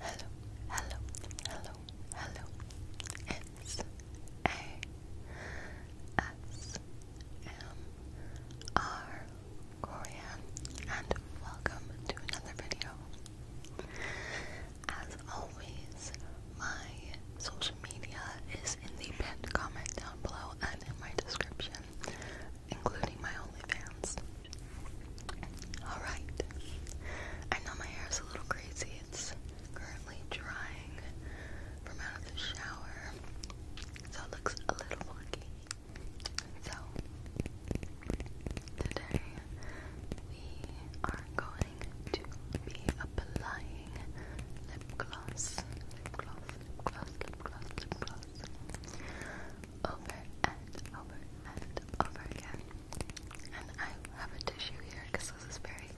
Hello, hello, hello, hello. It's A S M R and welcome to another video. As always, my social media is in the pinned comment down below and in my description including my OnlyFans. Alright. I know my hair is a little crazy. It's currently drying from out of the shower. So it looks a little funky. So today we are going to be applying lip gloss. Lip gloss, lip gloss, lip gloss, lip gloss over and over and over again. And I have a tissue here because this is very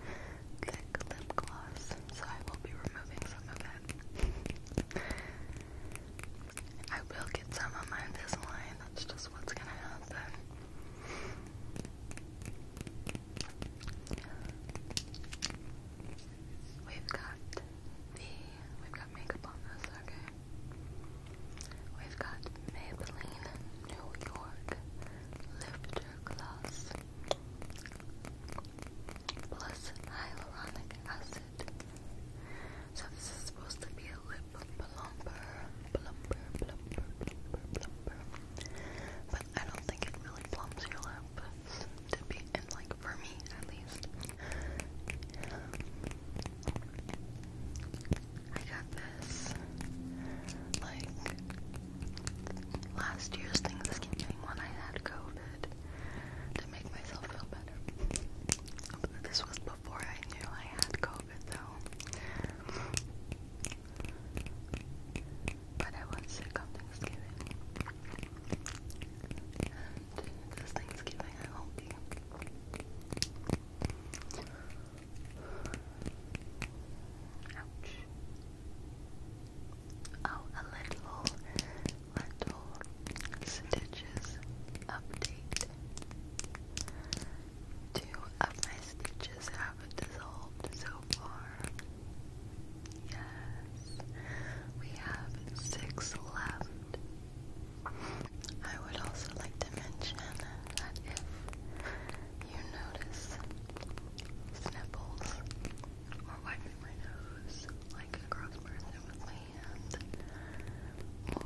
thick lip gloss, so I will be removing some of it. I will get some on my Invisalign, that's just what's gonna happen. We've got the we've got makeup on this, okay. We've got Maybelline New York Lifter Gloss plus hyaluronic acid. So this is supposed to be a lip plumper, plumper, plumper, plumper, plumper. But I don't think it really plumps your lips to be, and like for me at least. I got this like last year's Thanksgiving when I had COVID to make myself feel better. this was before I knew I had COVID though. But I was sick on Thanksgiving this Thanksgiving, I hope Ouch. Oh, a little, little stitches update. Two of my stitches have dissolved so far. Yes, we have six left. I would also like to mention that if you notice sniffles or wiping my nose like a gross person with my hand or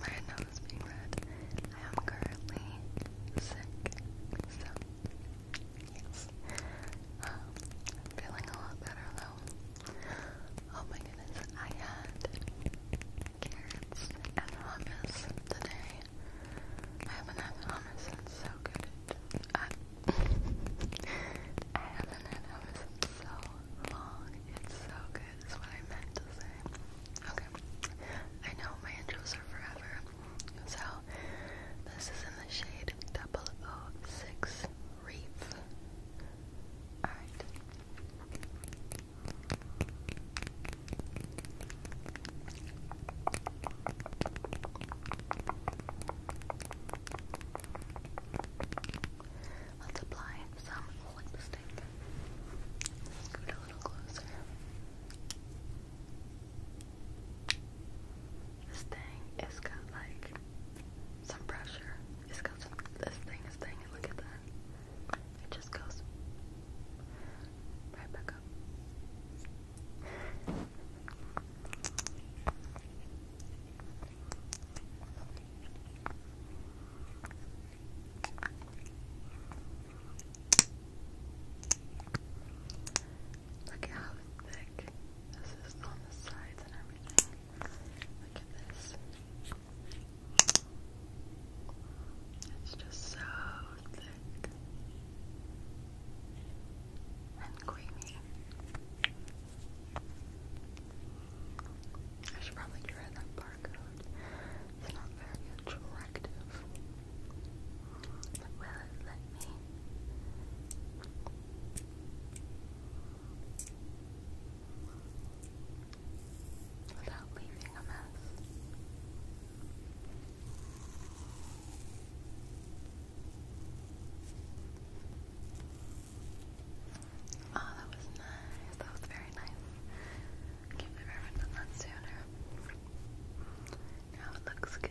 my nose being red, I am currently sick. So, yes. Um, I'm feeling a lot better though. Oh my goodness, I had carrots and hummus today. I haven't had hummus since so good. I, haven't had hummus in so long. It's so good, is what I meant to say. Okay. I know my intros are forever. So, this is in the shade 006 reef. Let's apply some lipstick. Scoot a little closer. This thing is got like some pressure. This goes this thing, this thing, and look at that. It just goes right back up. Look at how thick this is on the sides and everything. Look at this. It's just so thick and creamy. I should probably try that barcode. It's not very attractive. But let me? without leaving a mess. Oh, that was nice. That was very nice. I can't believe I have done Now it looks good.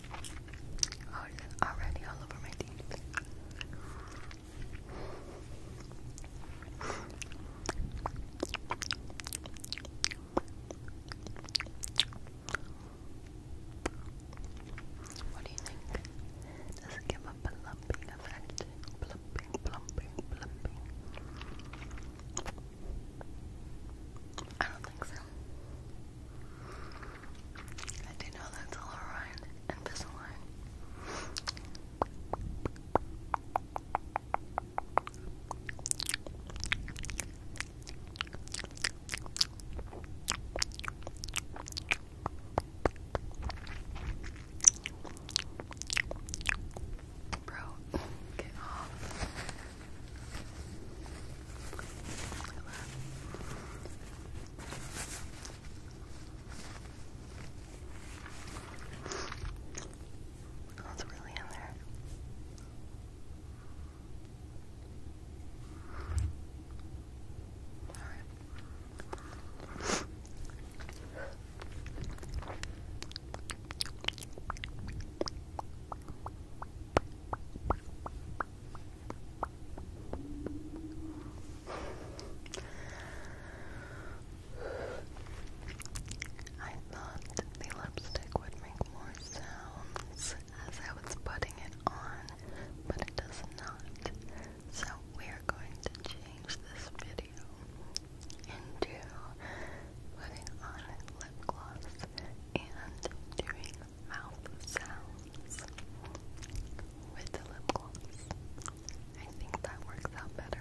already all over my teeth. What do you think? Does it give a plumping effect? Plumping, plumping, plumping. I don't think so. I do know that's all and Pisaline. Bro, get off. That's really in there. All right. I thought the lipstick would make more sounds as I was putting it on, but it does not. So we are going to change this video into putting on lip gloss and doing mouth sounds with the lip gloss. I think that works out better.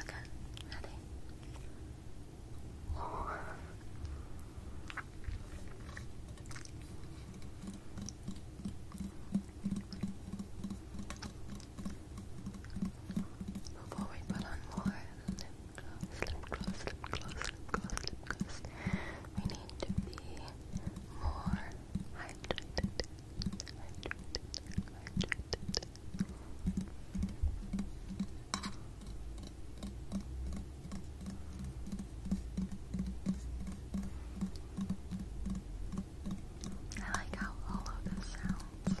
Okay, ready? Before we put on more, gloss, We need to be more hydrated. Hydrated, hydrated. I like how hollow this sounds.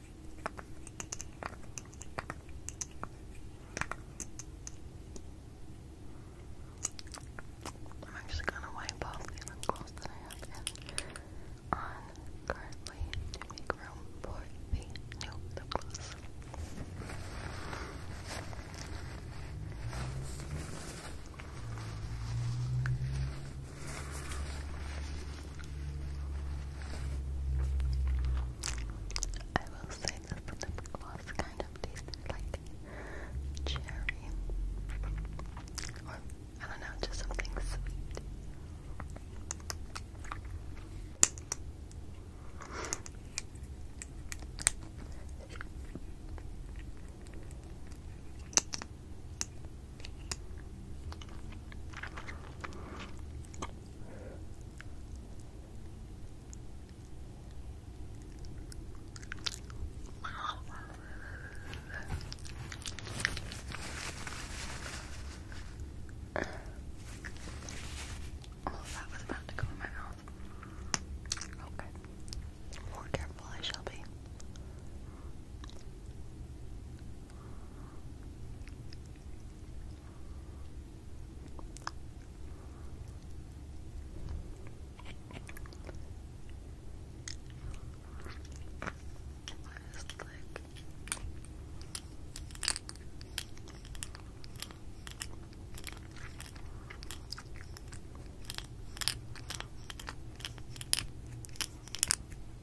I'm actually gonna wipe off the lip that I have on currently to room for the new lip I will say this lip gloss kind of tasted like cherry, or I don't know, just something sweet. Oh, that was about to go in my mouth. Okay. More careful I shall be. Last lick. All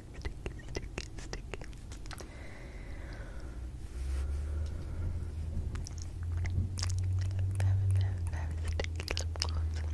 sticky, sticky, sticky. Very, very, very sticky lip gloss. Very,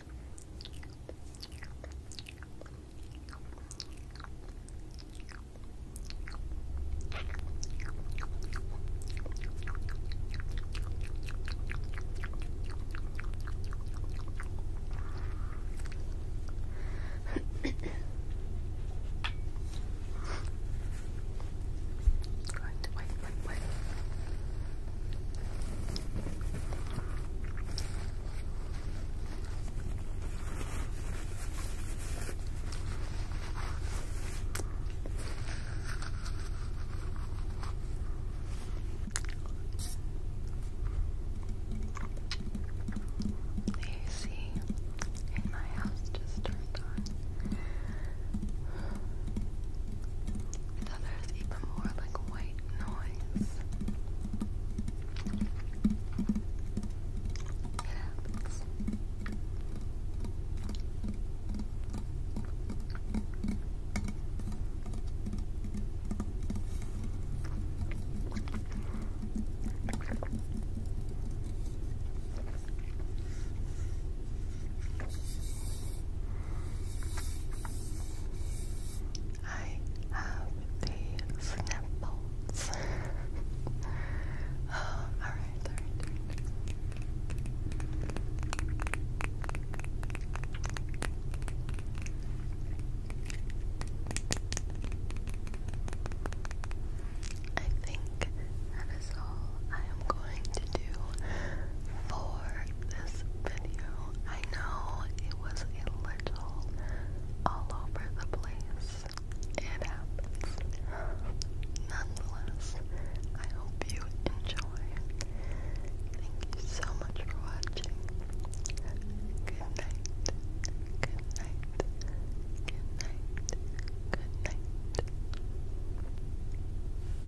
Right, wait, wait, wait. The AC in my house just turned on others even more like white noise. It happens. I have the snipples. Oh, alright, alright. I think that is all I am going to do for this video. I know it was a little all over the place. It happens. Nonetheless, I hope you enjoy. Thank you so much for watching. Good night. Good night. Good night. Good night.